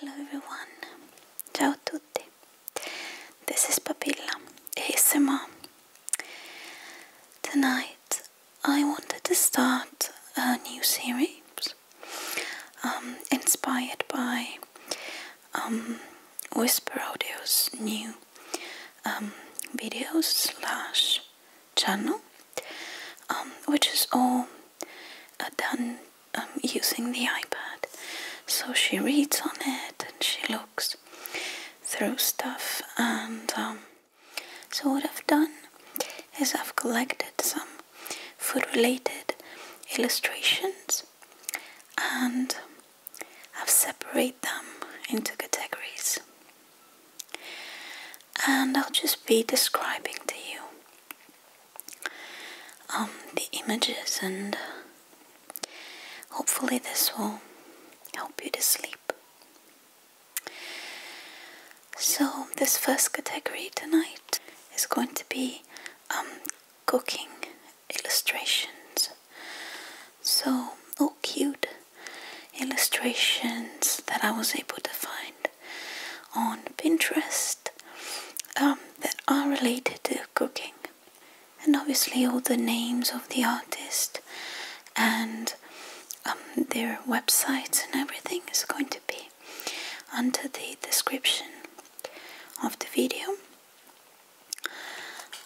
Hello everyone, ciao tutti, this is Papilla ASMR. Tonight I wanted to start a new series um, inspired by um, Whisper Audio's new um, Videos slash channel um, which is all uh, done um, using the iPad so she reads on it and she looks through stuff and so what I've done is I've collected some food related illustrations and I've separated them into categories. And I'll just be describing to you um, the images and hopefully this will help you to sleep. So this first category tonight is going to be um, cooking illustrations. So, all cute illustrations that I was able to find on Pinterest um, that are related to cooking. And obviously, all the names of the artist and um, their websites and everything is going to be under the description of the video.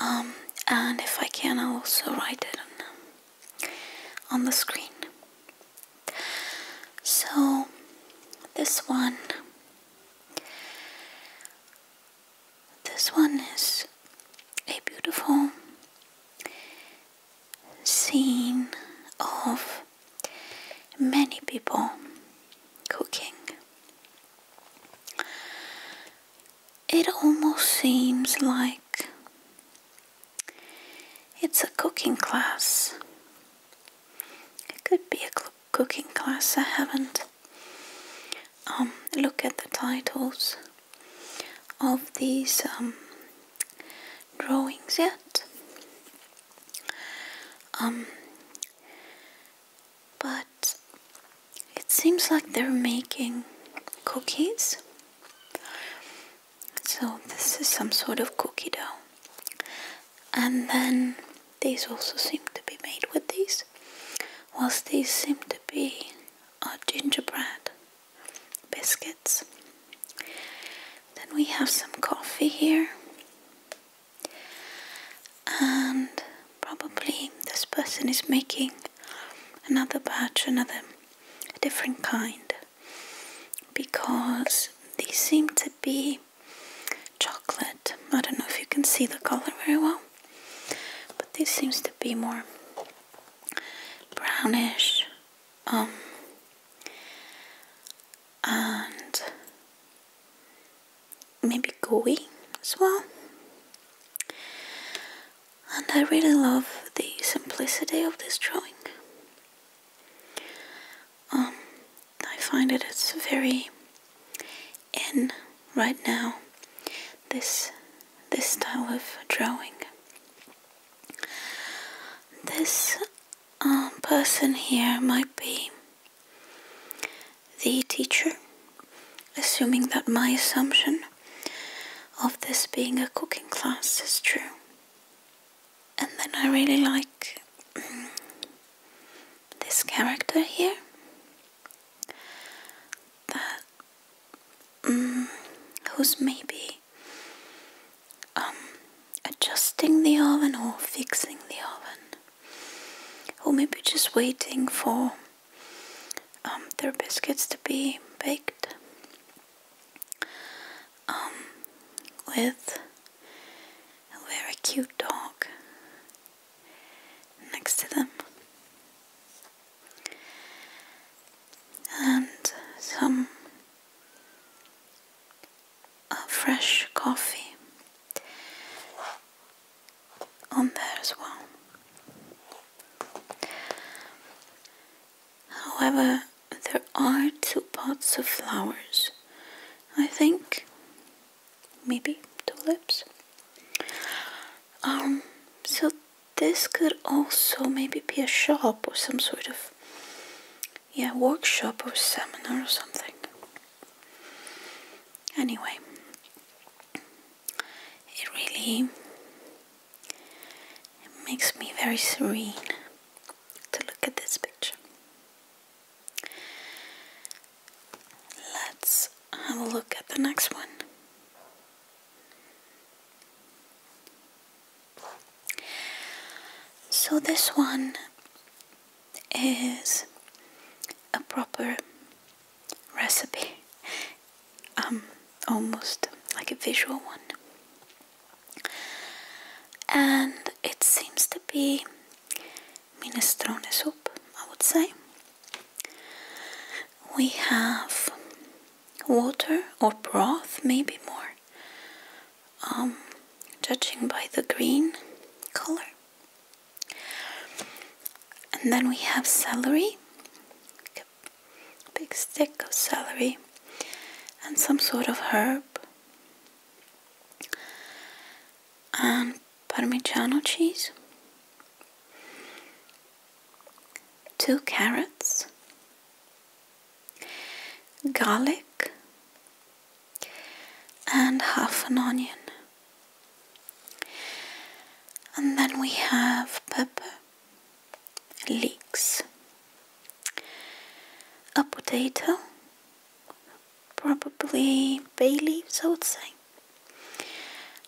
Um, and if I can, I'll also write it on, um, on the screen. So, this one, this one is a beautiful scene of many people cooking it almost seems like it's a cooking class. It could be a cooking class, I haven't um, looked at the titles of these um, drawings yet. Um, but it seems like they're making cookies. So, this is some sort of cookie dough. And then these also seem to be made with these, whilst these seem to be our gingerbread biscuits. Then we have some coffee here, and Probably this person is making another batch, another different kind, because these seem to be chocolate. I don't know if you can see the color very well, but this seems to be more brownish. Um, and maybe gooey as well and I really love the simplicity of this drawing. Um, I find it it's very in right now, this, this style of drawing. This uh, person here might be the teacher assuming that my assumption of this being a cooking class is true. And then I really like this character here. That mm, who's maybe um, adjusting the oven or fixing the oven, or maybe just waiting for um, their biscuits to be baked um, with a very cute dog next to them and some uh, fresh coffee on there as well. However, there are two pots of flowers. I think maybe tulips. Um, so this could also maybe be a shop or some sort of yeah, workshop or seminar or something. Anyway, it really makes me very serene to look at this picture. Let's have a look at the next one. So this one is a proper recipe. Um, almost like a visual one. And it seems to be minestrone soup, I would say. We have water or broth, maybe more, um, judging by the green color. And then we have celery, big stick of celery and some sort of herb and parmigiano cheese, two carrots, garlic, and half an onion. And then we have pepper, leeks, a potato, probably bay leaves, I would say.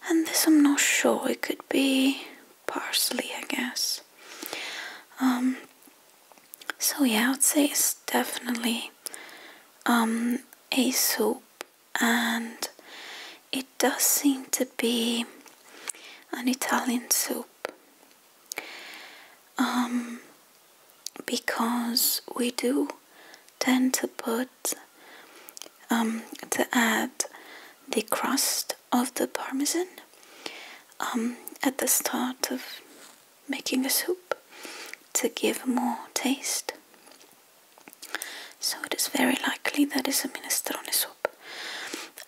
And this I'm not sure, it could be parsley, I guess. Um, so yeah, I would say it's definitely um, a soup and it does seem to be an Italian soup um, because we do tend to put um, to add the crust of the parmesan um, at the start of making a soup to give more taste so it is very likely that is a minestrone soup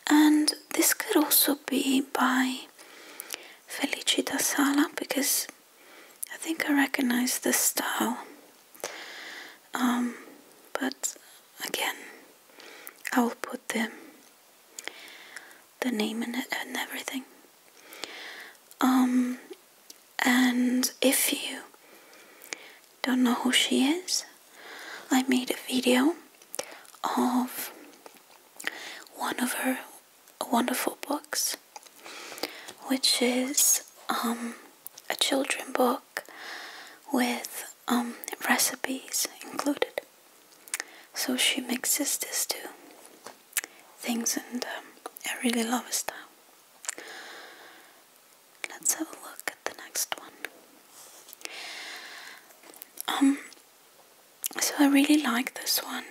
and this could also be by Felicita Sala because I think I recognize the style. Um, but again, I will put the the name and, and everything. Um, and if you don't know who she is, I made a video of one of her wonderful books, which is um, a children book with um, recipes included. So she mixes these two things, and um, I really love her style. Let's have a look at the next one. Um, so I really like this one.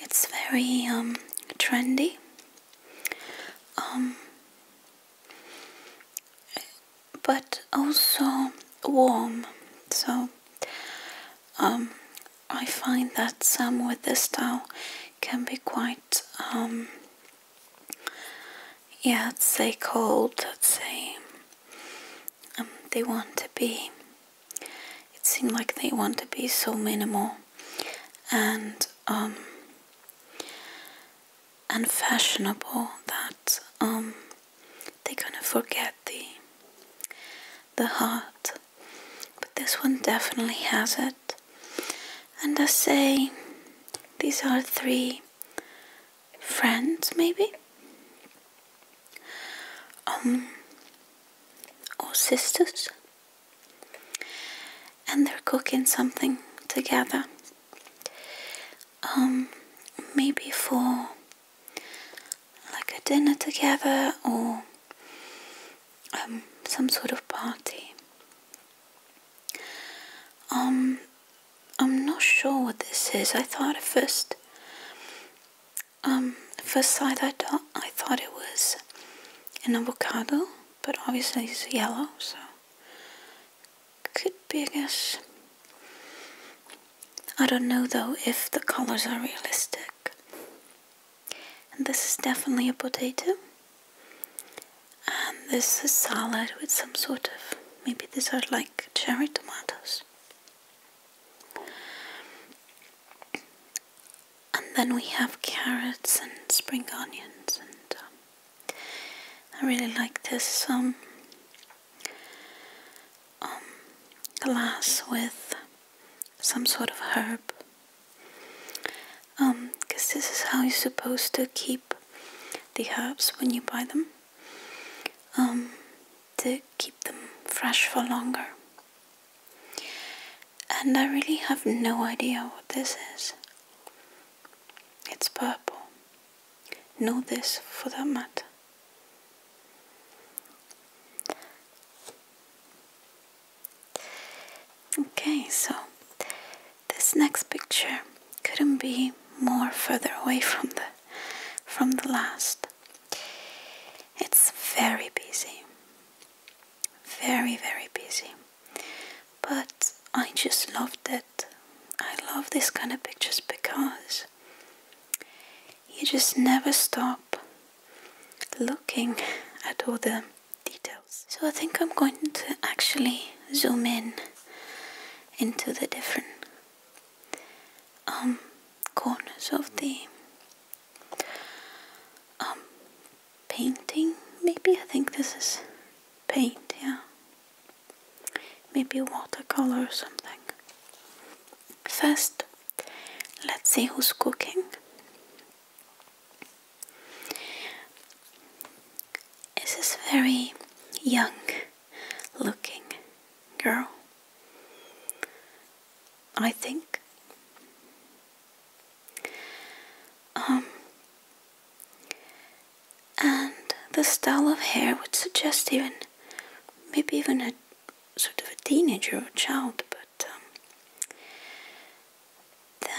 It's very um, trendy. Um, but also warm. So I find that some with this style can be quite yeah, it's would say cold, I'd say um, they want to be, it seems like they want to be so minimal and um, and fashionable that um, they gonna forget the, the heart. But this one definitely has it and I say these are three friends, maybe, um, or sisters, and they're cooking something together. Um, maybe for like a dinner together or um, some sort of party. Um, I'm not sure what this is. I thought at first, um, first sight I thought I thought it was an avocado, but obviously it's yellow, so could be, I guess. I don't know though if the colors are realistic. And this is definitely a potato and this is salad with some sort of maybe these are like cherry tomatoes. And then we have carrots and spring onions, and um, I really like this um, um, glass with some sort of herb. Because um, this is how you're supposed to keep the herbs when you buy them um, to keep them fresh for longer. And I really have no idea what this is. It's purple. No, this for that matter. Okay, so this next picture couldn't be more further away from the from the last. It's very busy. Very, very busy. But I just love it. I love this kind of pictures because you just never stop looking at all the details. So I think I'm going to actually zoom in into the different um, corners of the um, painting. Maybe I think this is paint, yeah. Maybe watercolor or something. First, let's see who's cooking is this very young looking girl. I think. Um, and the style of hair would suggest even, maybe even a sort of a teenager or child, but um,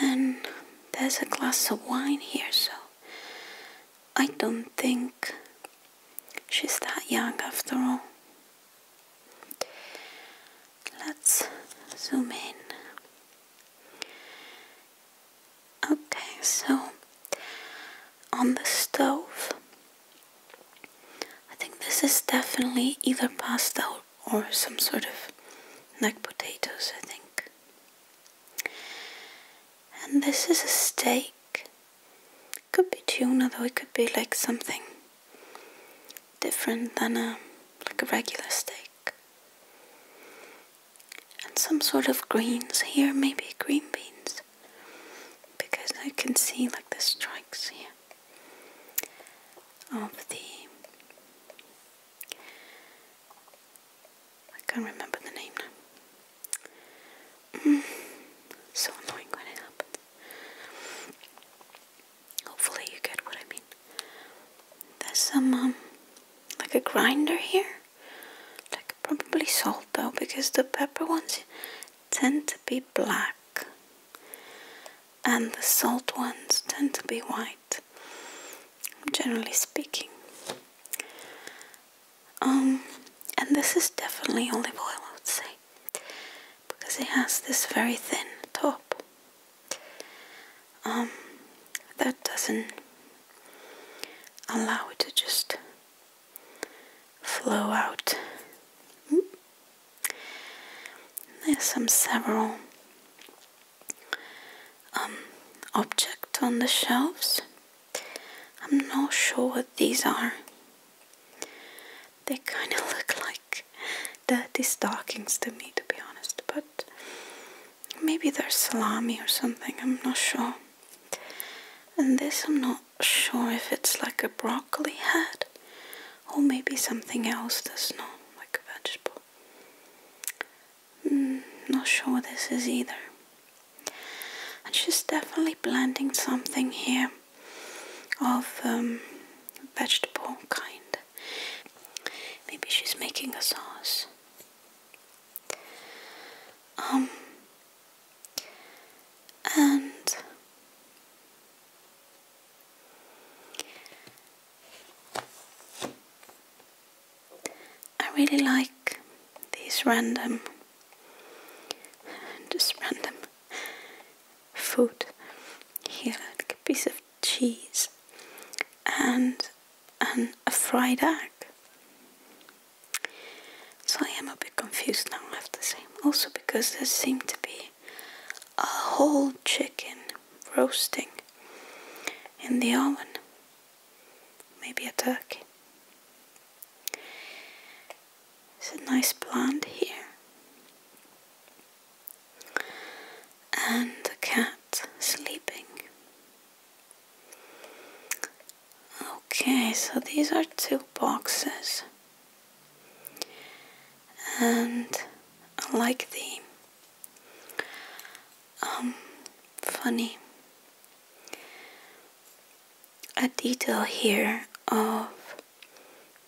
then there's a glass of wine here, so I don't think she's that young after all. Let's zoom in. Okay, so on the stove, I think this is definitely either pasta or, some sort of like potatoes, I think. And this is a steak. Could be tuna though, it could be like something different than a like a regular steak. And some sort of greens here, maybe green beans. Because I can see like the stripes here of the I can't remember the name now. Mm, so annoying when it happens. Hopefully you get what I mean. There's some, um, like a grinder here. Like probably salt though, because the pepper ones tend to be black. And the salt ones tend to be white, generally speaking. Um, and this is definitely olive oil, I would say, because it has this very thin top. Um, that doesn't allow it to just flow out. Hmm. There's some several um, objects on the shelves I'm not sure what these are. They kind of look like dirty stockings to me, to be honest, but maybe they're salami or something, I'm not sure. And this, I'm not sure if it's like a broccoli head or maybe something else that's not like a vegetable. Mm, not sure what this is either. And she's definitely blending something here of um, vegetable kind. Maybe she's making a sauce. Um, and I really like these random, just random food. Here, like a piece of cheese and, and a fried egg. So I am a bit confused now, I have to say. Also because there seemed to be a whole chicken roasting in the oven maybe a turkey. It's a nice plant here. And a cat sleeping. Okay, so these are two boxes. And I like the um, funny a detail here of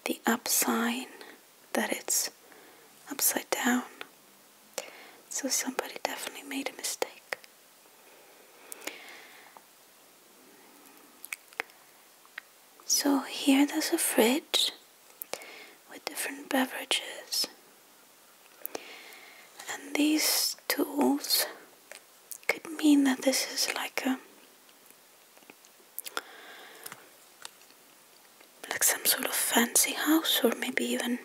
the upside sign that it's upside down so somebody definitely made a mistake so here there's a fridge with different beverages and these tools could mean that this is like a like some sort of fancy house or maybe even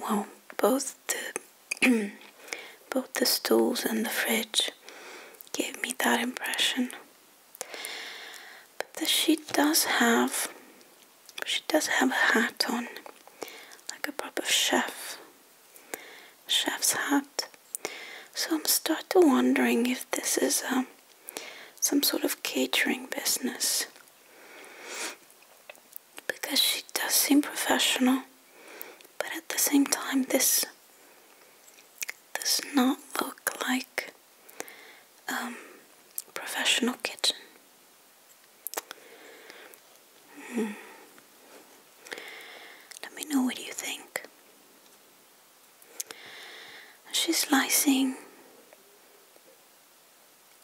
well both the both the stools and the fridge gave me that impression. But the sheet does have she does have a hat on, like a proper chef, chef's hat. So I'm starting to wondering if this is um, some sort of catering business. Because she does seem professional, but at the same time this does not look like um, professional kitchen. Hmm. Let me know what you think. She's slicing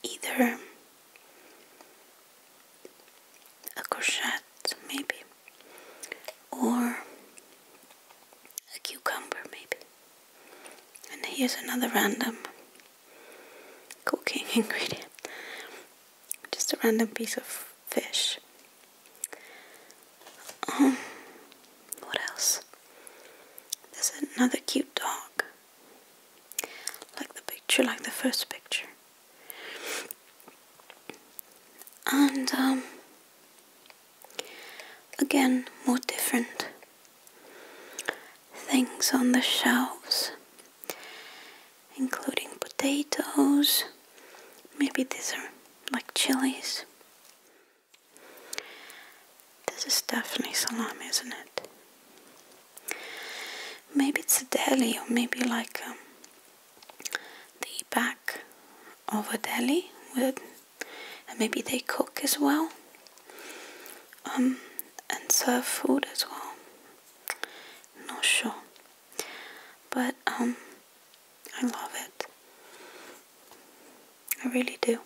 either a crochet, maybe, or a cucumber, maybe. And here's another random cooking ingredient. Just a random piece of fish. Um, what else? There's another cute dog. Like the picture, like the first picture. And, um, again, more different things on the shelves including potatoes. Maybe these are like chilies. This is definitely salami, isn't it? Maybe it's a deli, or maybe like um, the back of a deli with, and maybe they cook as well, um, and serve food as well not sure but um, I love it I really do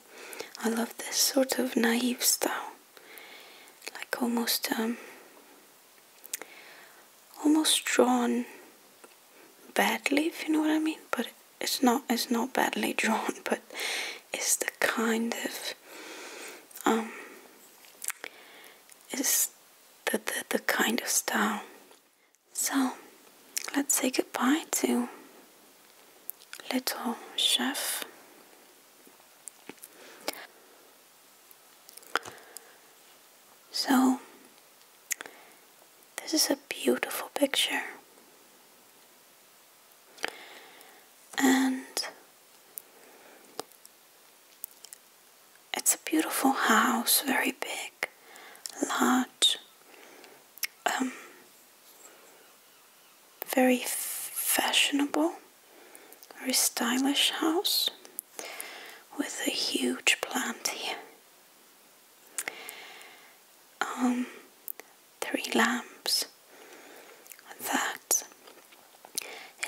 I love this sort of naive style like almost um, almost drawn badly if you know what I mean but it's not it's not badly drawn but it's the kind of um, is the, the, the kind of style. So let's say goodbye to Little Chef. So, this is a beautiful picture. And it's a beautiful house, very big, large, um, very fashionable, very stylish house with a huge plant here. Um, three lamps that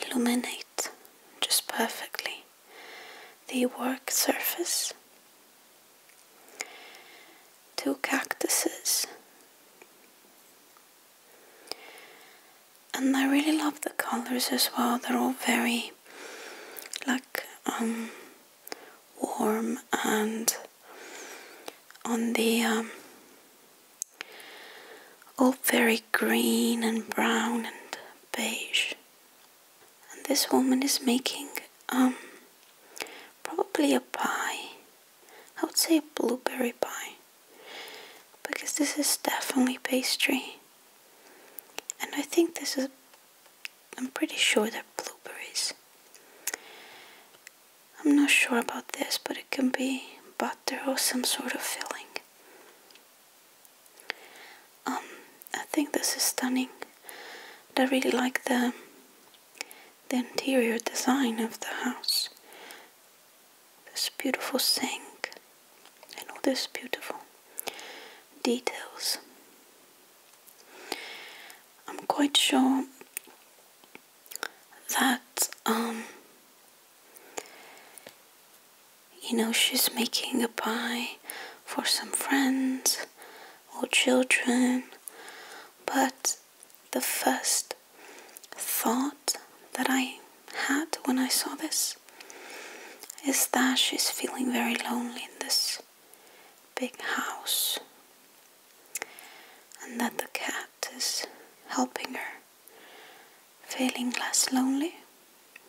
illuminate just perfectly the work surface. Two cactuses. And I really love the colors as well. They're all very like um, warm and on the um, all very green and brown and beige. And this woman is making um probably a pie. I would say a blueberry pie because this is definitely pastry. And I think this is I'm pretty sure they're blueberries. I'm not sure about this, but it can be, but there was some sort of feeling. Um, I think this is stunning. I really like the the interior design of the house. This beautiful sink and all these beautiful details. I'm quite sure that um, you know, she's making a pie for some friends or children, but the first thought that I had when I saw this is that she's feeling very lonely in this big house and that the cat is helping her feeling less lonely,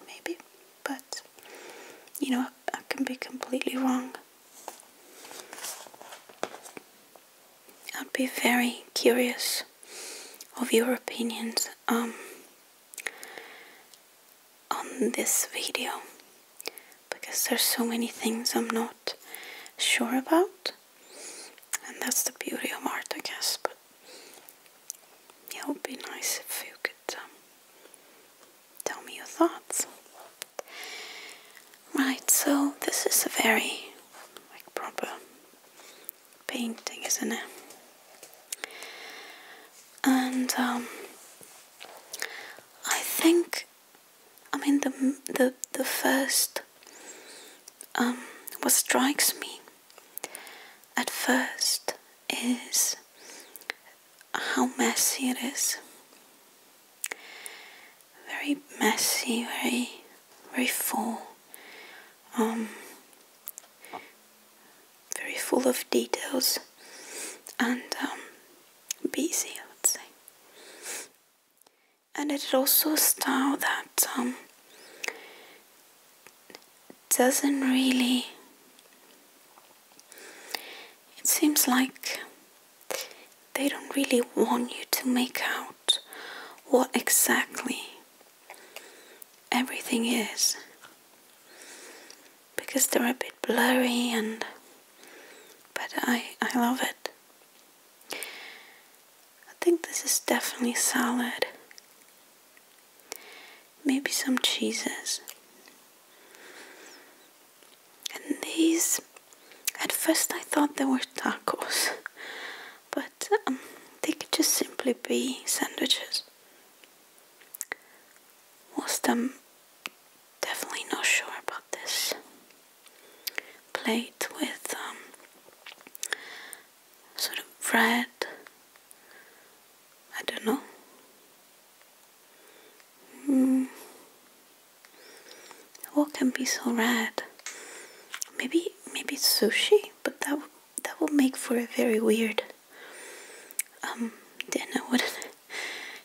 maybe, but you know, I, can be completely wrong. I'd be very curious of your opinions um, on this video because there's so many things I'm not sure about and that's the beauty of art I guess but it would be nice if you could um, tell me your thoughts right so this is a very like proper painting isn't it and um, I think I mean the the the first um, what strikes me at first is how messy it is. Very messy, very, very full. Um, very full of details and um, busy, I would say. And it is also a style that um, doesn't really it seems like they don't really want you to make out what exactly everything is because they're a bit blurry and but I, I love it I think this is definitely salad. Maybe some cheeses. And these, at first I thought they were tacos, but um, they could just simply be sandwiches. Whilst I'm definitely not sure about this plate with um, sort of red. I don't know. Hmm. What can be so red? Maybe maybe sushi, but that that will make for a very weird um dinner, would it?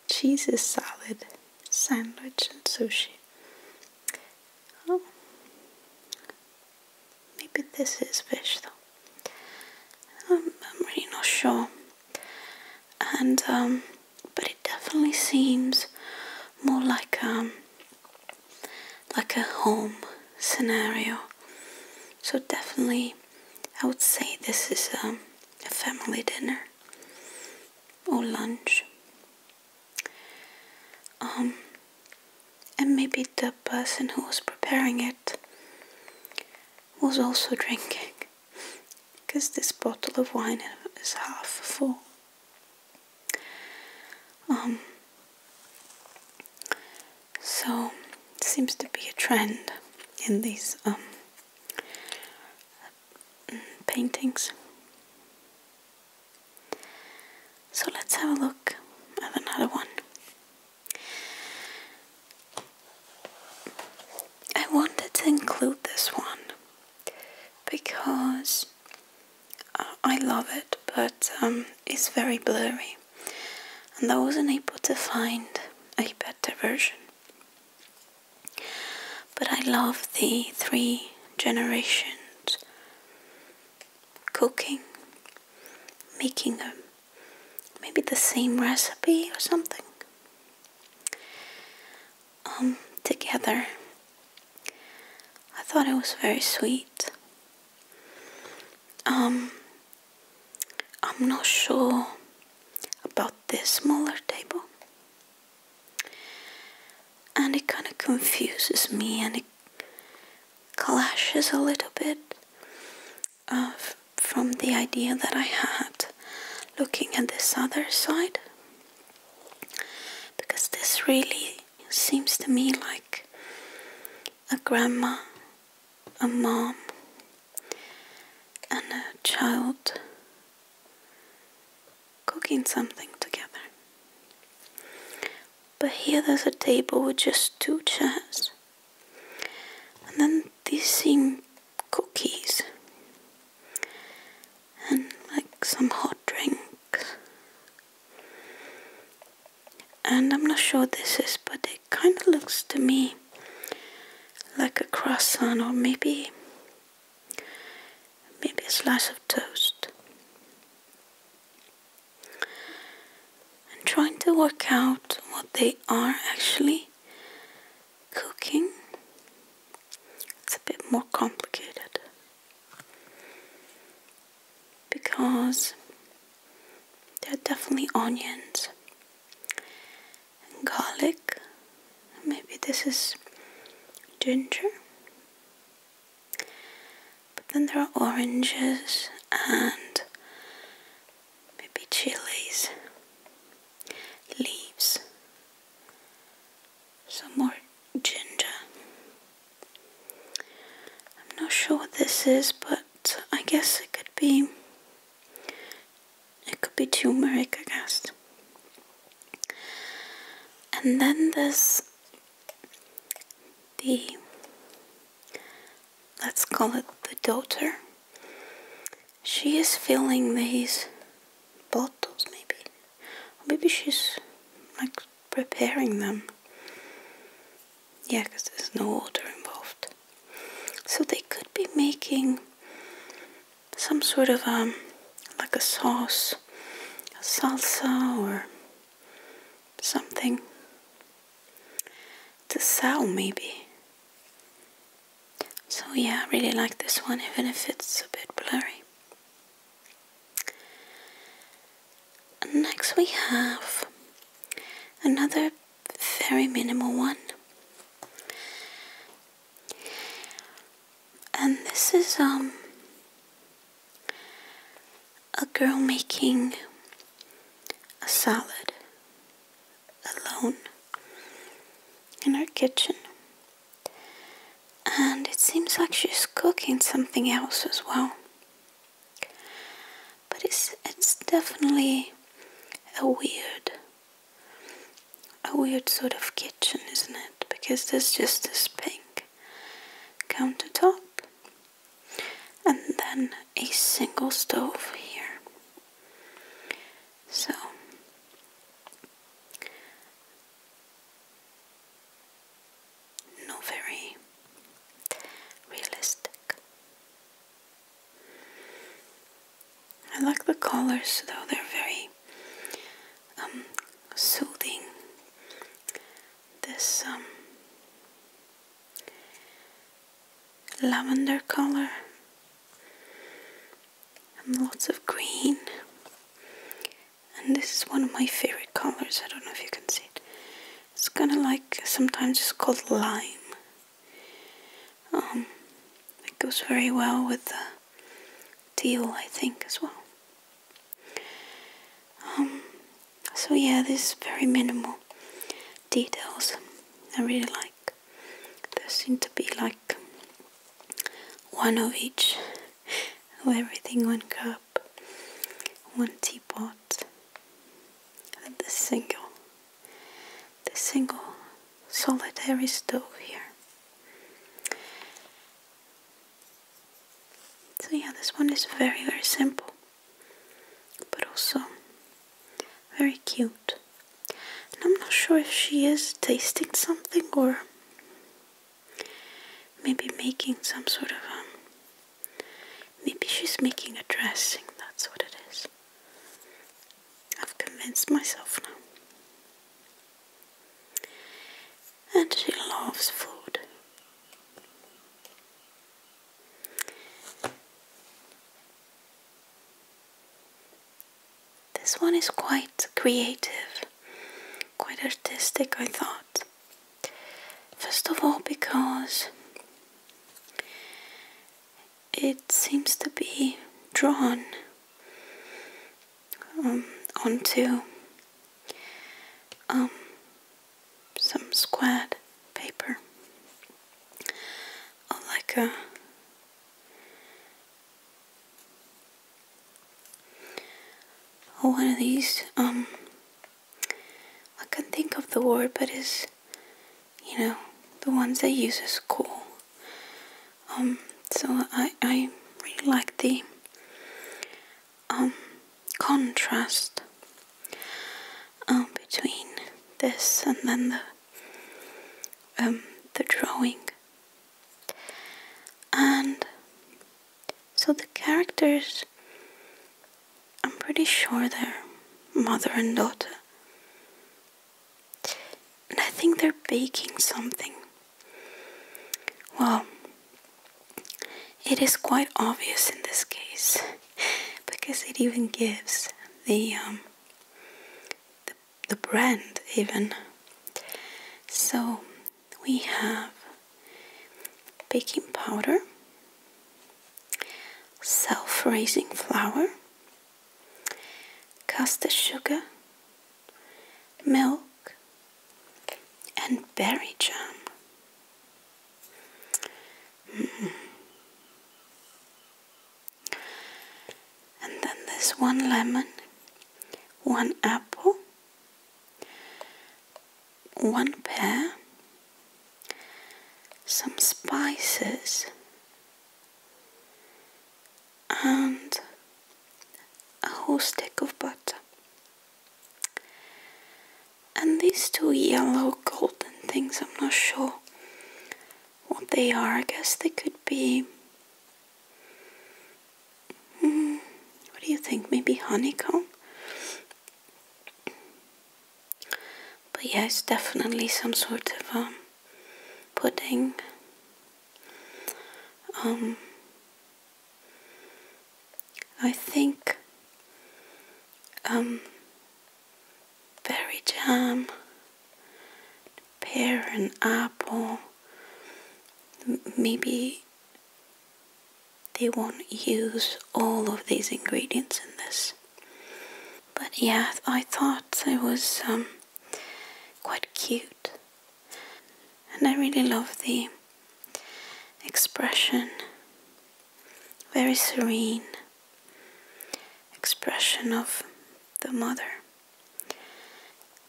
Cheese salad, sandwich, and sushi. Oh. Maybe this is fish though. Um, I'm, really not sure. And um, but it definitely seems more like um like a home scenario. So definitely, I would say this is um, a family dinner or lunch. Um, and maybe the person who was preparing it was also drinking because this bottle of wine is half full. Um, so it seems to be a trend in these um, paintings. So let's have a look at another one. I wanted to include this one because uh, I love it, but um, it's very blurry, and I wasn't able to find a better version. But I love the three generations cooking making them maybe the same recipe or something um, together i thought it was very sweet um, i'm not sure about this smaller table and it kind of confuses me and it clashes a little bit uh, from the idea that I had looking at this other side because this really seems to me like a grandma, a mom, and a child cooking something together. But here there's a table with just two chairs. And then these seem cookies. And like some hot drinks. And I'm not sure this is, but it kind of looks to me like a croissant or maybe maybe a slice of toast and trying to work out what they are actually cooking. It's a bit more complicated because there are definitely onions and garlic. Maybe this is ginger. But then there are oranges and maybe chilies, leaves, some more ginger. I'm not sure what this is, but I guess it could be it could be turmeric, I guess. And then this the let's call it the daughter she is filling these bottles maybe maybe she's like preparing them yeah because there's no water involved so they could be making some sort of um like a sauce a salsa or something the sow maybe. So yeah, I really like this one even if it's a bit blurry. Next we have another very minimal one. And this is um a girl making a salad alone in her kitchen. And it seems like she's cooking something else as well. But it's, it's definitely a weird, a weird sort of kitchen, isn't it? Because there's just this pink countertop and then a single stove here. So not very realistic. I like the colors though, they're very um, soothing. This um, lavender color and lots of green and this is one of my favorite colors I don't know if you can see it it's kind of like sometimes it's called lime um, it goes very well with the teal I think as well um, so yeah, this is very minimal details. I really like. There seem to be like one of each, everything, one cup, one teapot, and the single, the single solitary stove here. So yeah, this one is very very simple but also very cute. And I'm not sure if she is tasting something or maybe making some sort of um maybe she's making a dressing, that's what it is. I've convinced myself now. And she loves food. This one is quite creative, quite artistic, I thought. First of all, because it seems to be drawn um, onto um, some squared paper or like a one of these um I can not think of the word but it's you know the ones they use at school um so I, I really like the um, contrast um, between this and then the um, the drawing and so the characters I'm pretty sure they're mother and daughter and I think they're baking something well it is quite obvious in this case because it even gives um, the the brand even. So we have baking powder, self-raising flour, caster sugar, milk, and berry jam. Mm. And then there's one lemon, one apple, one pear, some spices, and a whole stick of butter. And these two yellow golden things, I'm not sure what they are. I guess they could be. Hmm, what do you think? Maybe honeycomb? But yeah, it's definitely some sort of um, pudding. Um, I think um, berry jam, pear and apple. Maybe they won't use all of these ingredients in this. But yeah, I thought it was um, quite cute. And I really love the expression very serene expression of the mother.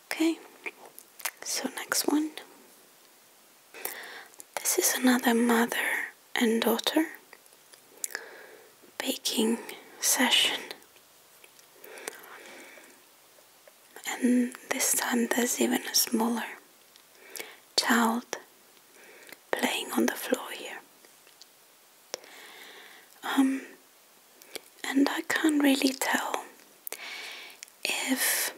Okay, so next one. This is another mother and daughter baking session. And this time there's even a smaller child playing on the floor here. Um, and I can't really tell if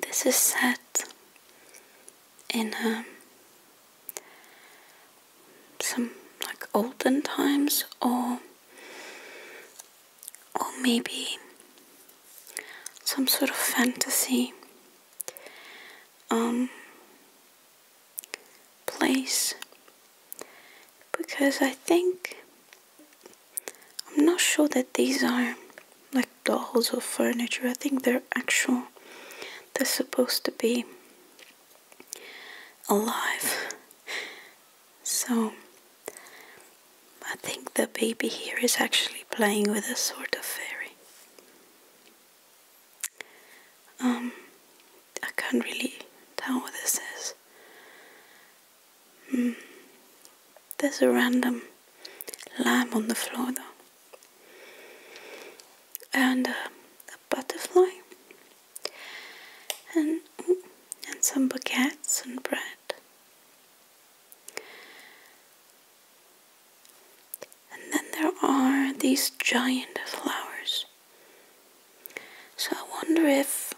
this is set in um, some like olden times or or maybe some sort of fantasy um, place because I think I'm not sure that these are like dolls or furniture I think they're actual they're supposed to be alive so I think the baby here is actually playing with a sort of fairy um, I can't really tell what this is. Hmm. There's a random lamb on the floor though. And uh, a butterfly. And, and some baguettes and bread. And then there are these giant flowers. So I wonder if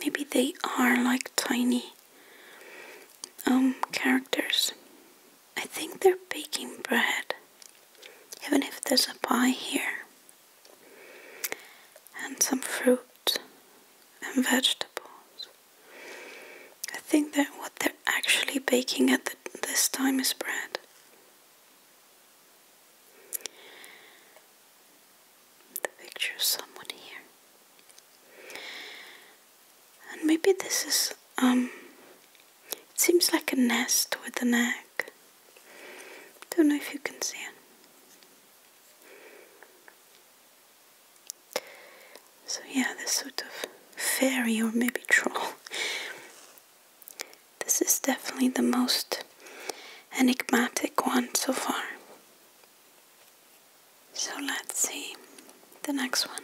maybe they are like tiny um characters. I think they're baking bread. Even if there's a pie here. And some fruit and vegetables. I think that what they're actually baking at this time is bread. The picture of someone here. And maybe this is, um, it seems like a nest with a neck. Don't know if you can see it. So yeah, this sort of fairy or maybe troll. This is definitely the most enigmatic one so far. So let's see the next one.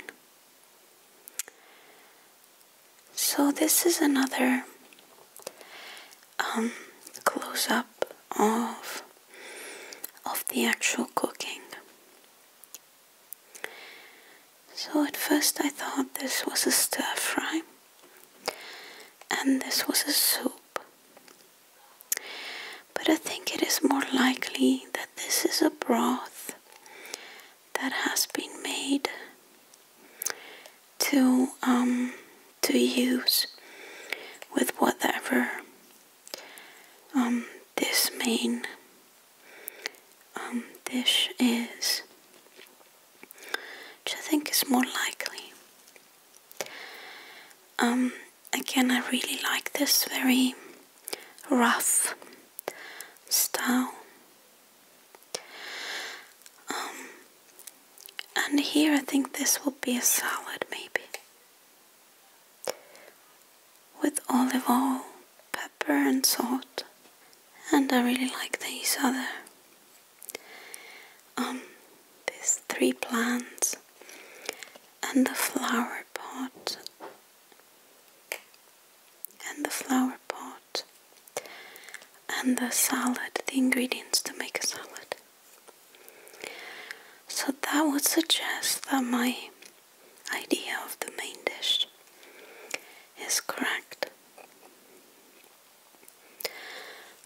So this is another um, close up of of the actual cooking. So at first I thought this was a stir fry and this was a soup. But I think it is more likely that this is a broth that has been made to um, to use with whatever um, this main um, this is, which I think is more likely. Um, again, I really like this very rough style. Um, and here I think this will be a salad maybe with olive oil, pepper and salt. And I really like these other um these three plants and the flower pot and the flower pot and the salad, the ingredients to make a salad. So that would suggest that my idea of the main dish is correct.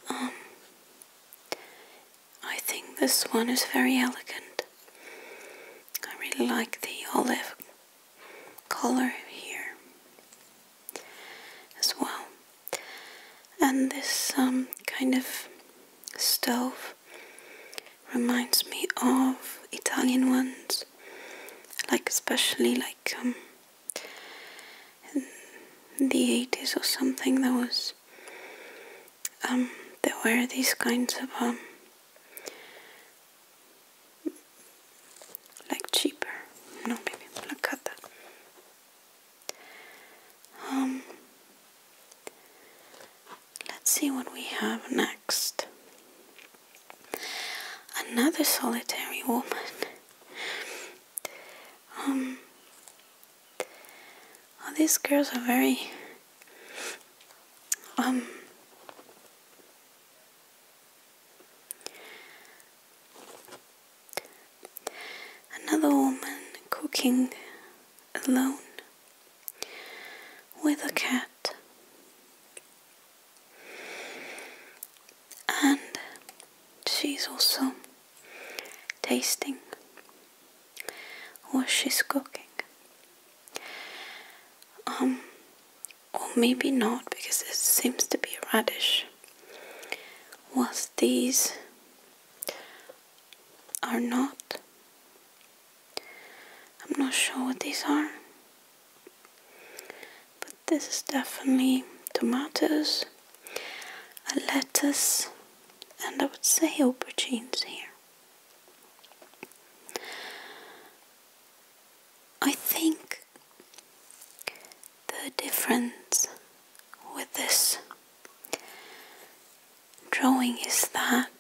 Um, I think this one is very elegant. I really like the olive color here as well. And this um, kind of stove reminds me of Italian ones, like especially like um, the 80s or something. There was um, there were these kinds of um, like cheaper. No, maybe I'm that. Let's see what we have next. Another solitary woman. Um, oh, these girls are very, um, another woman cooking alone with a cat. And she's also tasting what she's cooking. Um, or maybe not because it seems to be a radish. Was these are not I'm not sure what these are, but this is definitely tomatoes, lettuce, and I would say aubergines here. I think the difference with this drawing is that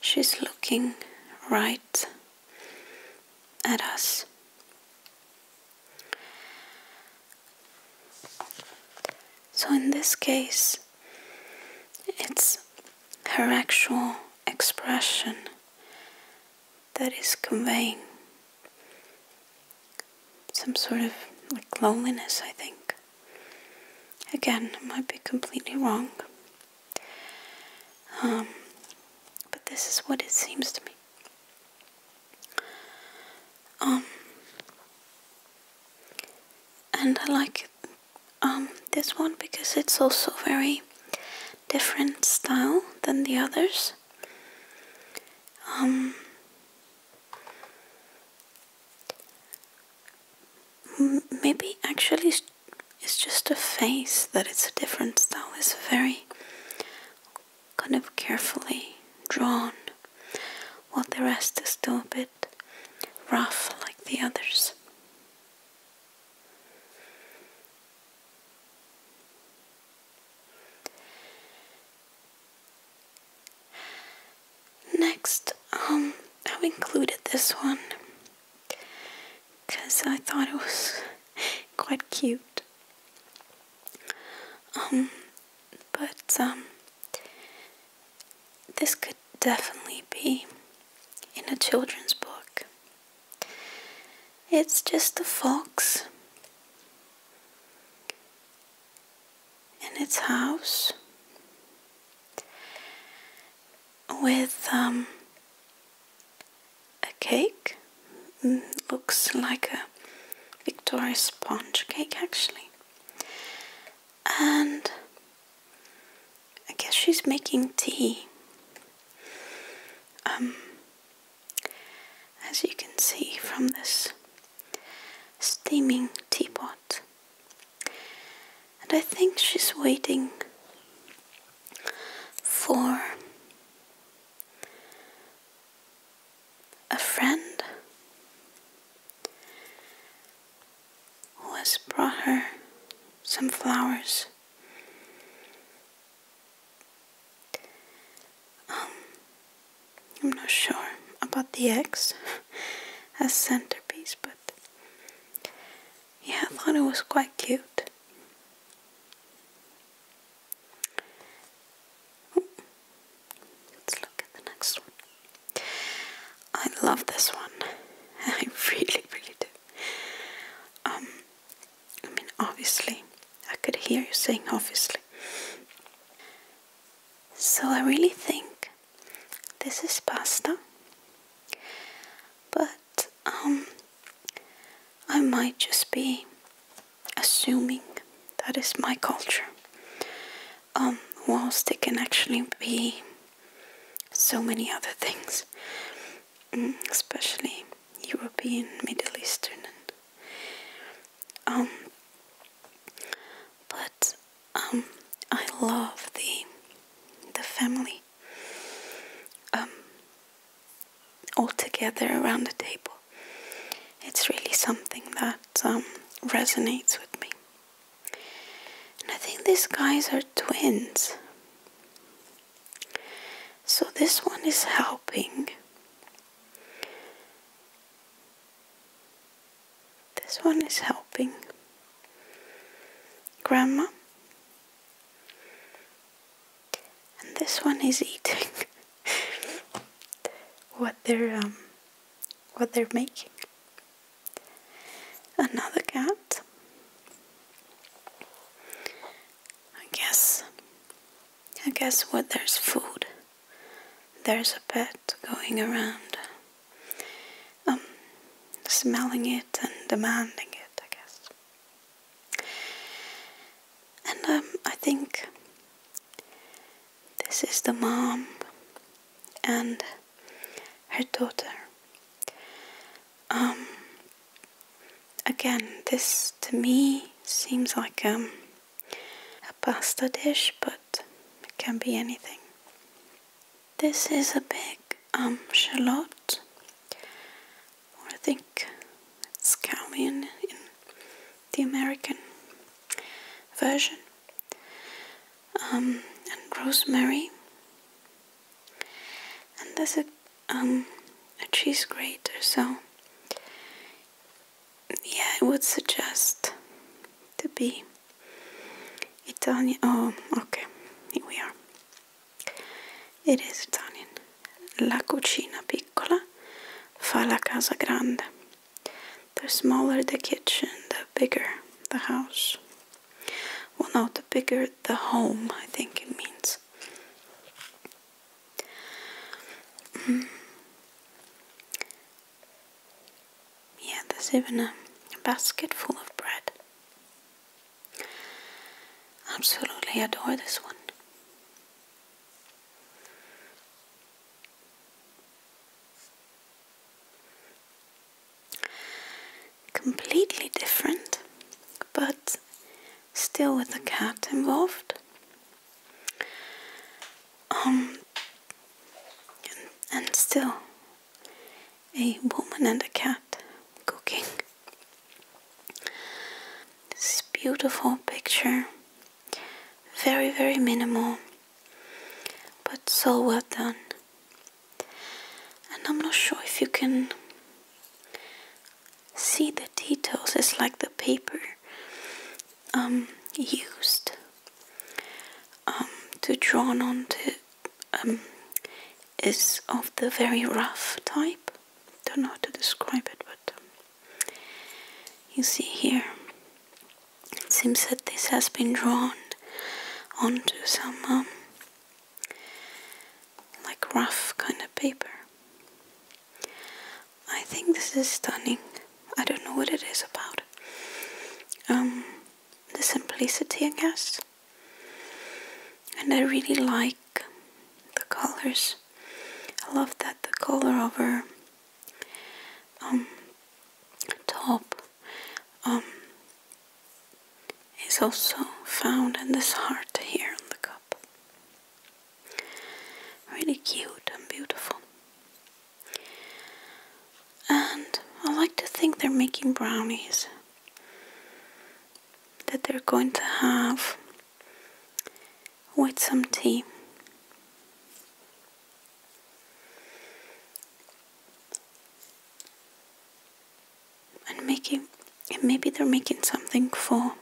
she's looking right at us. So in this case, it's her actual expression that is conveying some sort of like loneliness, I think. Again, might be completely wrong. Um, but this is what it seems to me. Um, and I like um, this one because it's also very different style than the others. maybe actually it's just a face that it's a different style. It's very kind of carefully drawn, while the rest is still a bit rough like the others. Next, um, i included this one because I thought it was quite cute. Um, but um, this could definitely be in a children's book. It's just a fox in its house with um, a cake. Mm, looks like a Victoria sponge cake actually. And I guess she's making tea. Um, as you can see from this steaming teapot. And I think she's waiting for a friend who has brought her some flowers. Um, I'm not sure about the eggs as centerpiece, but yeah, I thought it was quite cute. Let's look at the next one. I love this one. I really, really do. Um, I mean, obviously, I could hear you saying obviously. So I really think this is pasta, but um, I might just be assuming that is my culture. Um, whilst it can actually be so many other things, mm, especially European, Middle Eastern, um, but I love the the family um, all together around the table. It's really something that um, resonates with me. I think these guys are twins. So this one is helping. This one is helping grandma and this one is eating what they're um, what they're making. Another cat. I guess I guess what there's food. There's a pet going around um, smelling it and demanding it, I guess. And um, I think this is the mom and her daughter. Um, again, this to me seems like um, a pasta dish, but it can be anything. This is a big um, shallot. I think it's scallion in, the American version. Um, and rosemary. And there's a, um, a cheese grater, so yeah, I would suggest to be Italian. Oh, okay, here we are. It is Italian. La cucina piccola fa la casa grande. The smaller the kitchen, the bigger the house. Well, no, the bigger the home, I think it means. Mm. Yeah, there's even a basket full of bread. Absolutely adore this one. Completely different, but still with the cat involved. Um, and, and still a woman and a cat cooking. This beautiful picture, very, very minimal, but so well done. And I'm not sure if you can see the details, it's like the paper um, used um, to draw onto um, is of the very rough type. Don't know how to describe it, but um, you see here, it seems that this has been drawn onto some um, like rough kind of paper. I think this is stunning. I don't know what it is about. the simplicity, I guess and I really like the colors. I love that the color of her um, top um, is also found in this heart here on the cup. Really cute and beautiful. And I like to think they're making brownies that they're going to have with some tea. And making maybe they're making something for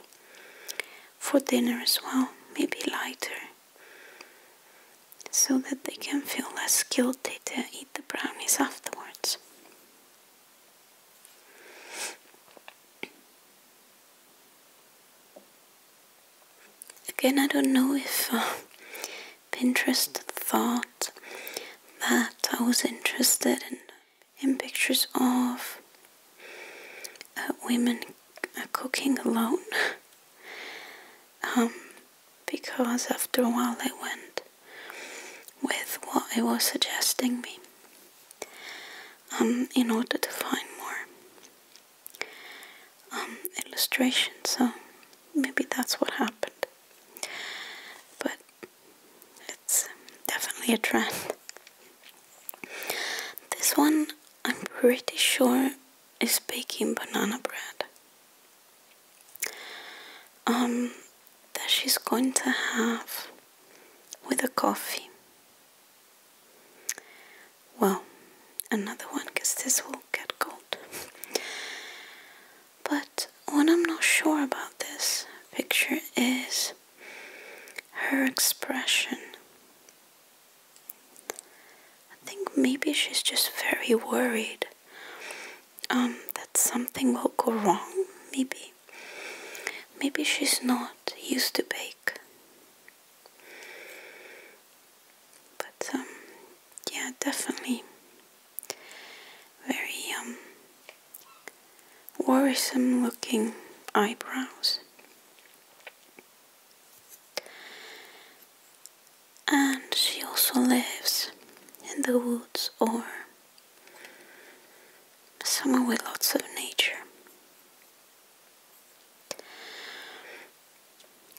for dinner as well, maybe lighter. So that they can feel less guilty to eat the brownies afterwards. Again, I don't know if uh, Pinterest thought that I was interested in, in pictures of uh, women uh, cooking alone. Um, because after a while I went with what I was suggesting me um, in order to find more um, illustrations. So maybe that's what happened. But it's um, definitely a trend. This one, I'm pretty sure, is baking banana bread. Um, that she's going to have with a coffee. Well, another one because this will get cold. but what I'm not sure about this picture is her expression. I think maybe she's just very worried um, that something will go wrong, maybe. Maybe she's not used to bake. But um, yeah, definitely very um, worrisome looking eyebrows. And she also lives in the woods or Summer with lots of nature.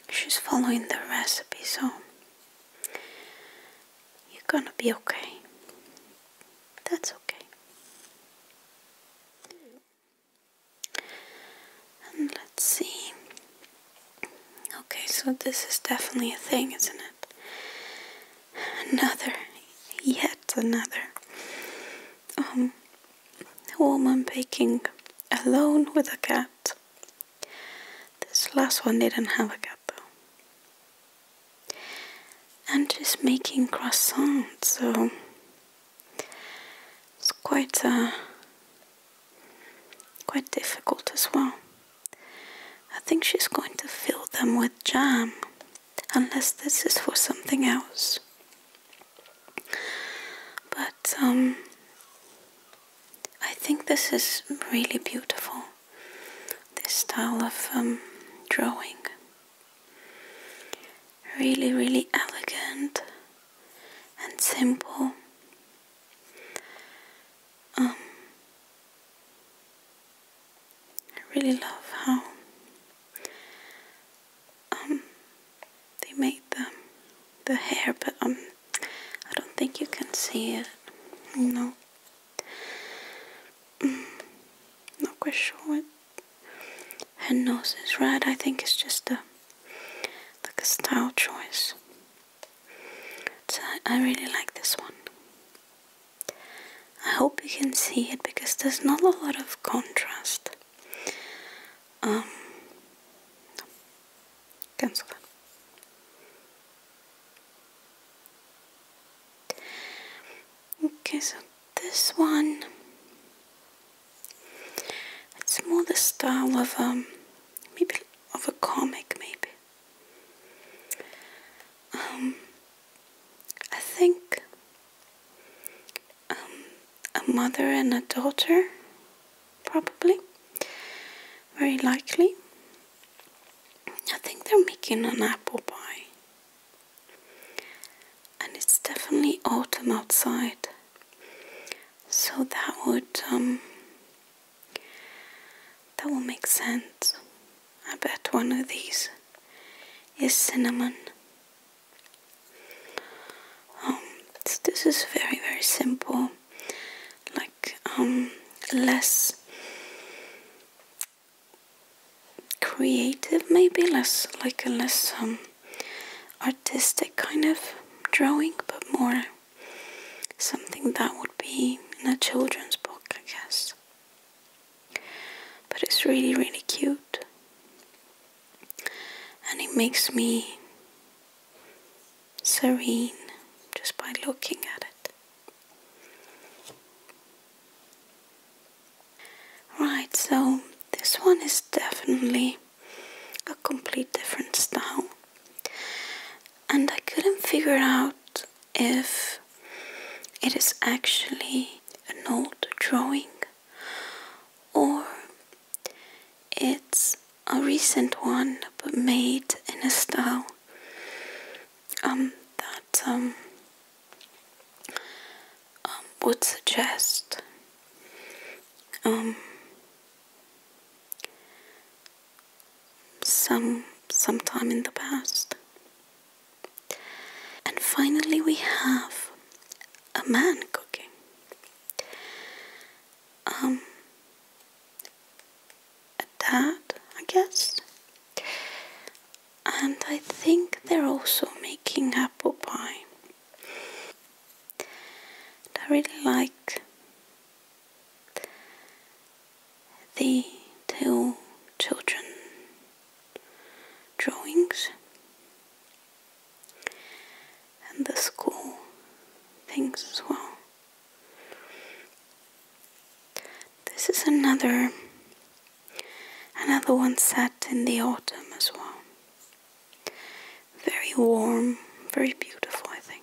She's following the recipe, so you're gonna be okay. That's okay. And let's see. Okay, so this is definitely a thing, isn't it? another, yet another um, woman baking alone with a cat. This last one didn't have a cat though. And she's making croissants, so it's quite uh, quite difficult as well. I think she's going to fill them with jam, unless this is for something else. But, um, I think this is really beautiful, this style of um, drawing. Really, really elegant and simple. Um, I really love how um they made the the hair, but um I don't think you can see it. No, mm, not quite sure what her nose is red. I think it's just a like a style choice. So I really like this one. I hope you can see it because there's not a lot of contrast. Um, cancel Okay, so this one, it's more the style of um, maybe of a comic, maybe. Um, I think um, a mother and a daughter, probably, very likely. I think they're making an apple pie. And it's definitely autumn outside. So that would, um, that would make sense. I bet one of these is cinnamon. Um, this is very, very simple. Like, um, less creative, maybe less like a less um, artistic kind of drawing, but more something that would be in a children's book, I guess. But it's really, really cute. And it makes me serene just by looking at it. Right, so this one is definitely a complete different style. And I couldn't figure out if it is actually an old drawing or it's a recent one but made in a style um, that um, um, would suggest some sometime in the past. And finally, we have a man cooking. Um, a dad, I guess. And I think they're also making apple pie. I really like the two children drawings and the school things as well. This is another another one set in the autumn as well. Very warm, very beautiful I think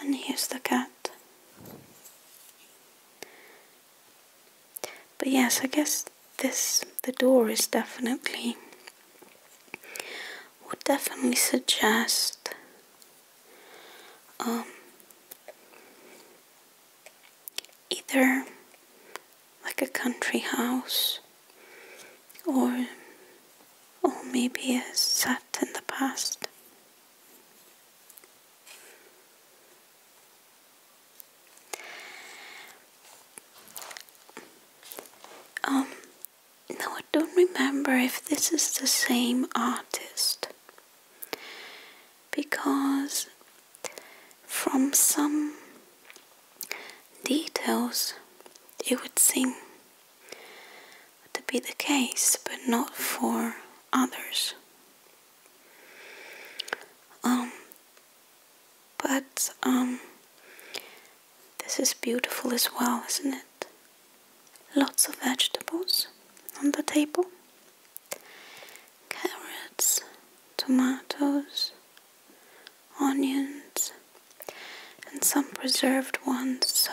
and here's the cat. But yes, I guess this the door is definitely would definitely suggest um, either like a country house or or maybe a set in the past. Um, no, I don't remember if this is the same artist because from some details it would seem to be the case, but not for others. Um, but um, this is beautiful as well, isn't it? Lots of vegetables on the table. Carrots, tomatoes, onions, and some preserved ones, so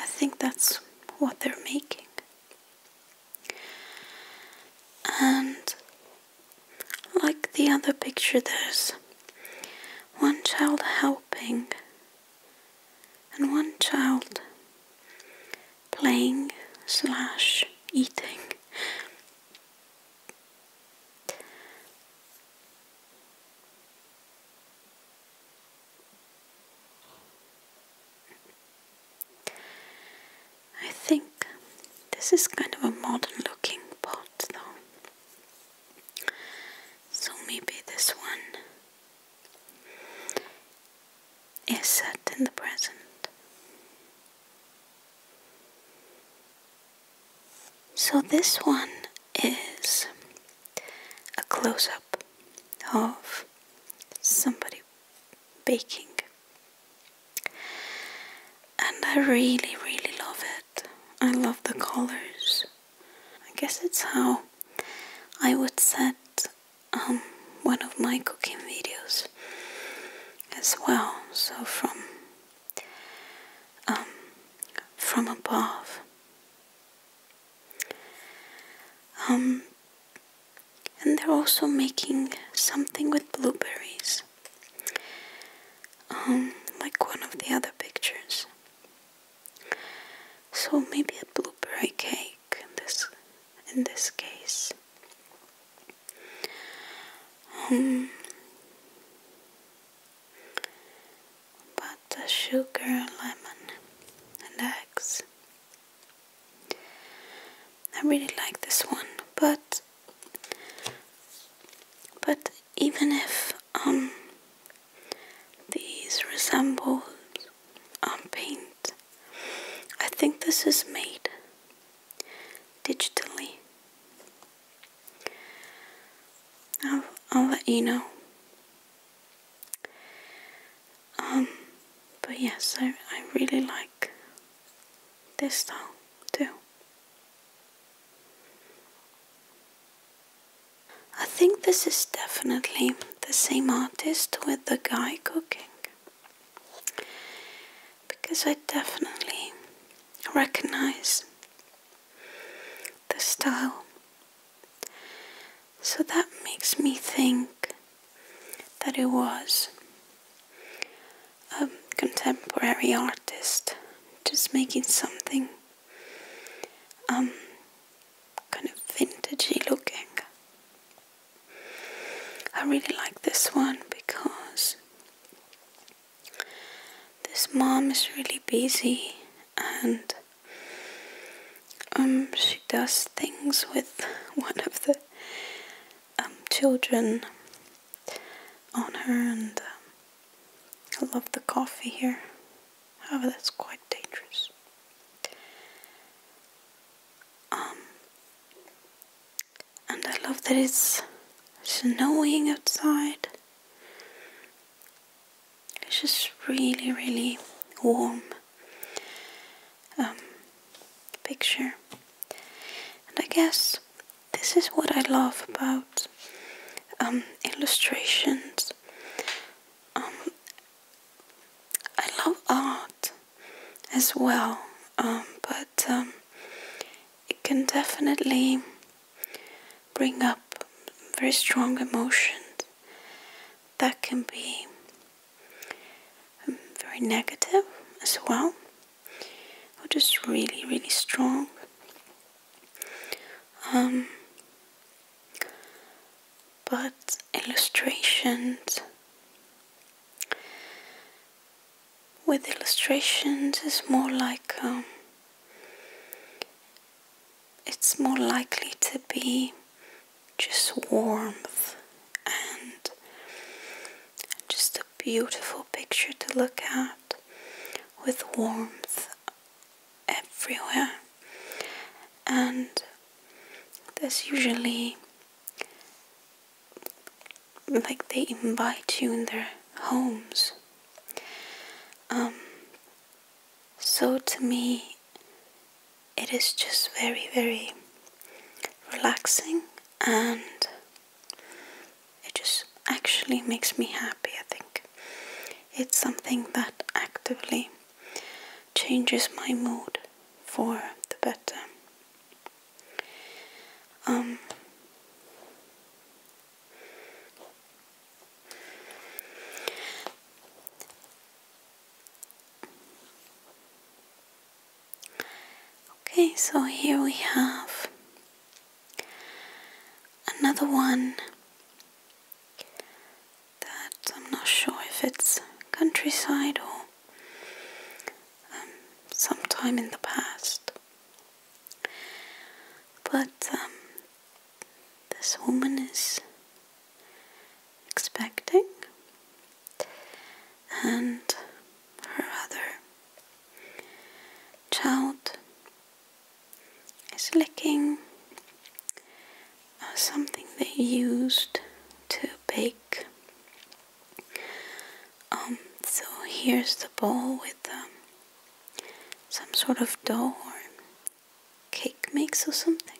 I think that's what they're making. And like the other picture, there's one child helping and one child playing slash eating. I think this is kind of a modern looking pot though. So maybe this one is set in the present. So this one is a close up of somebody baking. And I really, really love it. I love the colors. I guess it's how I would set um, one of my cooking videos as well. So from um, from above, um, and they're also making something with blueberries, um, like one of the other pictures. So maybe a blueberry cake in this in this case. Um, butter, sugar, lemon, and eggs. I really like this one, but but even if um, these resemble um paint, I think this is made digitally. I'll, I'll let you know. Um, but yes, so I really like this style too. I think this is definitely the same artist with the guy cooking. Because I definitely recognize the style so that makes me think that it was a contemporary artist just making something um, kind of vintagey looking. I really like this one because this mom is really busy and um, she does things with one of the um, children on her and um, I love the coffee here. However, that's quite dangerous. Um, and I love that it's snowing outside. It's just really, really warm um, picture. And I guess this is what I love about um, illustrations. Um, I love art as well, but it can definitely bring up very strong emotions that can be um, very negative as well or just really really strong um, but illustrations with illustrations is more like um, it's more likely to be just warmth and just a beautiful picture to look at with warmth everywhere. And there's usually like they invite you in their homes. Um, so to me, it is just very, very relaxing and it just actually makes me happy, I think. It's something that actively changes my mood for the better. Um, Okay, so here we have another one that I'm not sure if it's countryside or um, sometime in the past. But um, this woman is expecting, and her other child is licking uh, something they used to bake. Um, so here's the bowl with um, some sort of dough or cake mix or something.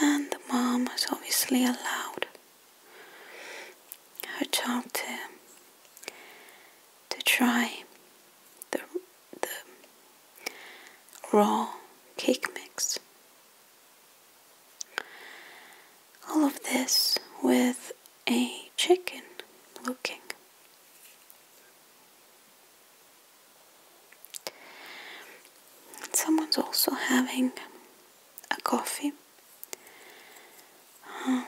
And the mom was obviously allowed her child to to try the the raw cake mix. All of this with a chicken looking Someone's also having a coffee. Um,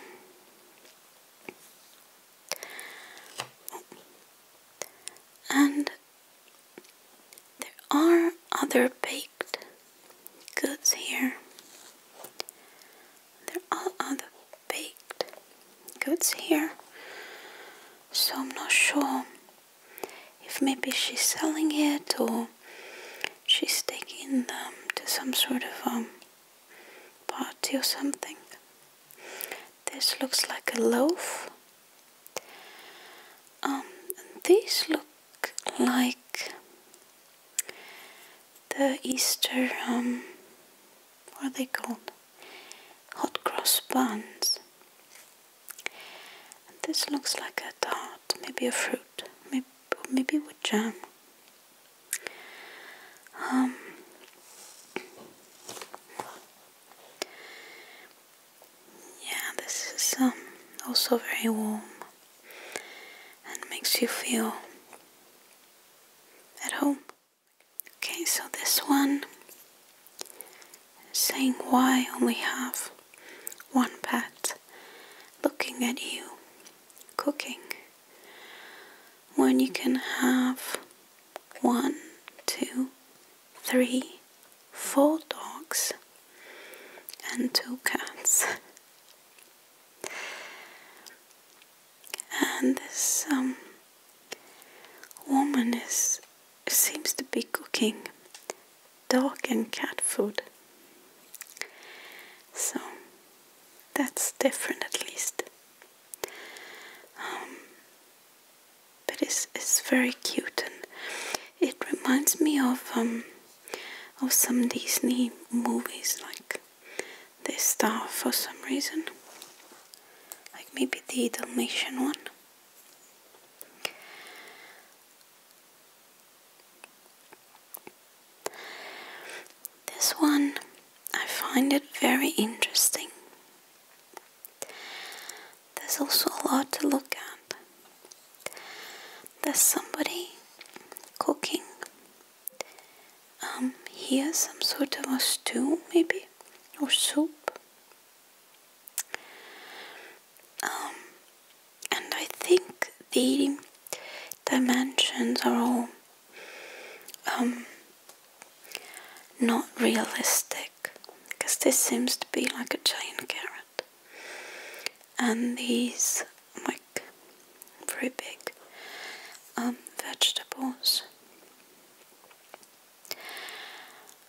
and there are other baked goods here. There are other baked goods here, so I'm not sure if maybe she's selling it or she's taking them to some sort of um, party or something. This looks like a loaf. Um, and these look like the Easter, um, what are they called? hot cross buns. this looks like a tart, maybe a fruit, maybe, maybe with jam. Um, yeah, this is um, also very warm and makes you feel at home Okay, so this one saying why only have one pet looking at you cooking when you can have one, two, three, four dogs and two cats. and this um, Woman is seems to be cooking dog and cat food. So that's different at least. Um, but it's, it's very cute and it reminds me of um, of some Disney movies like this star for some reason. Like maybe the Dalmatian one. This one I find it very interesting. There's also a lot to look at. There's somebody cooking um, here some sort of a stew, maybe, or soup. Um, and I think the dimensions are all um, not realistic because this seems to be like a giant carrot and these like very big um, vegetables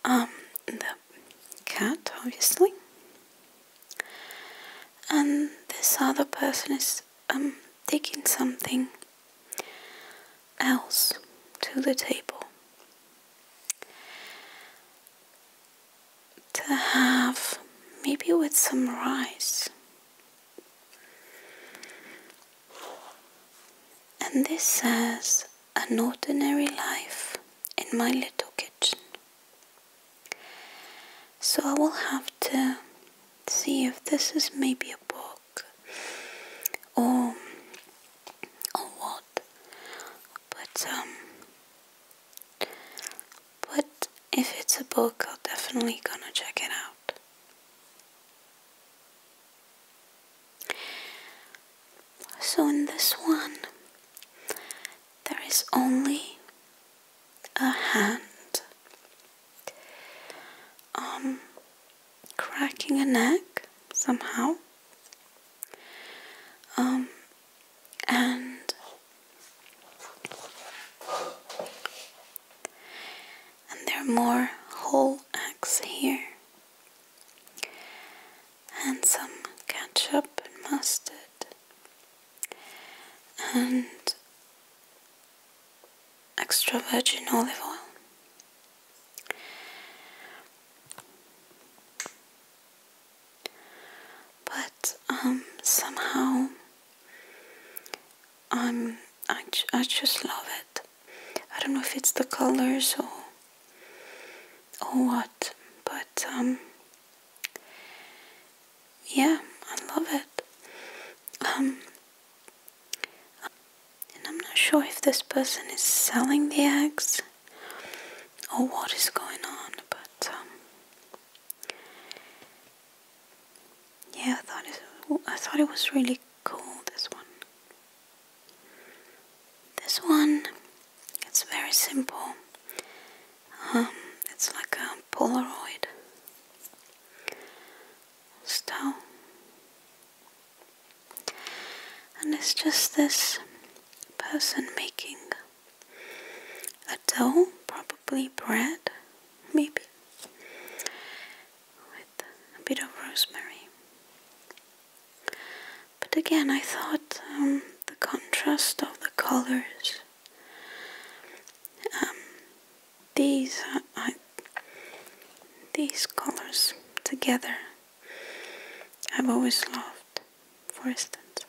um, the cat, obviously, and this other person is um, taking something else to the table to have maybe with some rice. And this says an ordinary life in my little kitchen. So I will have to see if this is maybe a book or or what. But um but if it's a book I'll definitely gonna check it out. So in this one, there is only a hand um, cracking a neck somehow, um, and and there are more whole acts here and some ketchup and mustard and extra virgin olive oil. But um, somehow I'm I, I just love it. I don't know if it's the colors or or what, but um, yeah, I love it. Um, and I'm not sure if this person is selling the eggs or what is going on, but um, yeah, I thought it, I thought it was really cool. This one. This one, it's very simple. Um, it's like a Polaroid style, and it's just this person making a dough, probably bread, maybe, with a bit of rosemary. But again, I thought um, the contrast of the colors. Um, these uh, these colors together, I've always loved. For instance,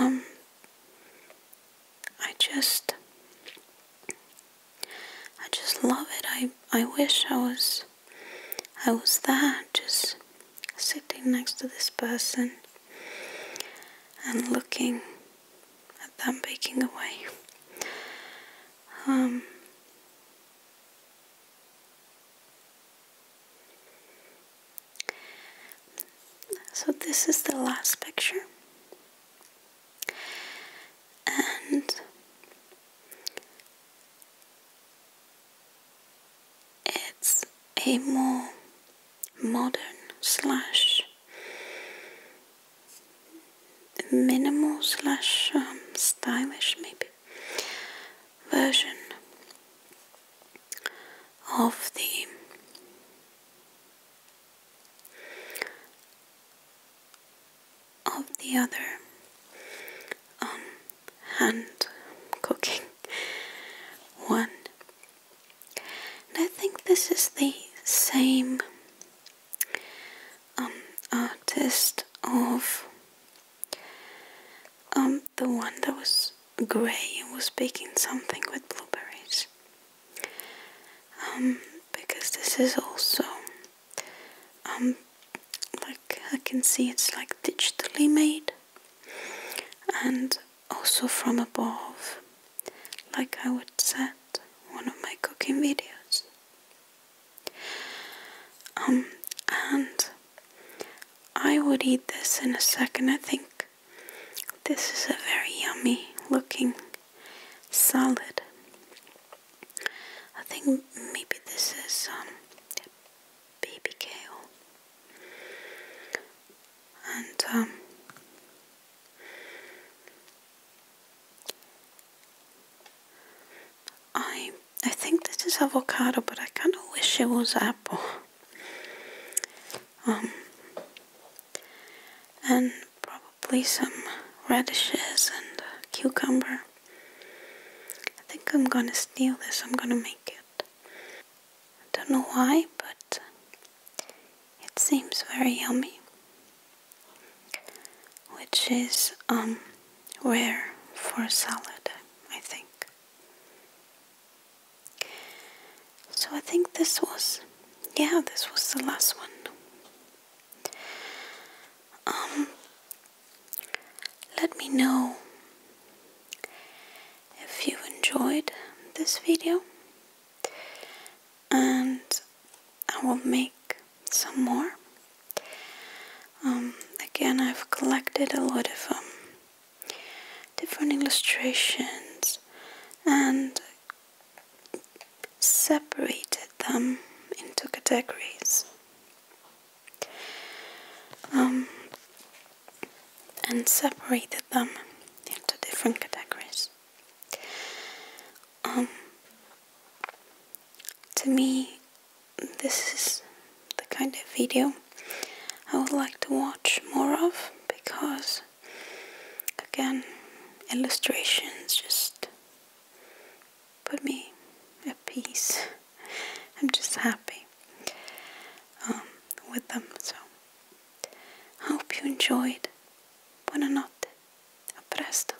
um, I just I just love it. I I wish I was I was there just sitting next to this person and looking at them baking away. Um So this is the last picture and it's a more modern slash minimal slash um, stylish maybe version of the of the other um, hand cooking one. And I think this is the same um, artist of um, the one that was grey and was baking something with blueberries. Um, because this is also um, like I can see it's like digitally made and also from above like I would set one of my cooking videos um, and I would eat this in a second I think this is a very yummy looking salad I think maybe this is um, baby kale, and um, I I think this is avocado, but I kind of wish it was apple. Um, and probably some radishes and cucumber. I think I'm gonna steal this, I'm gonna make it. I don't know why, but it seems very yummy. Which is um rare for a salad, I think. So I think this was yeah, this was the last one. Um let me know if you enjoyed this video and I will make some more. Um, again, I've collected a lot of um, different illustrations and separated them into categories. Um, and separated them into different categories. Um, to me, this is the kind of video I would like to watch more of because, again, illustrations just put me at peace. I'm just happy um, with them. So I hope you enjoyed. Buonanotte. A presto.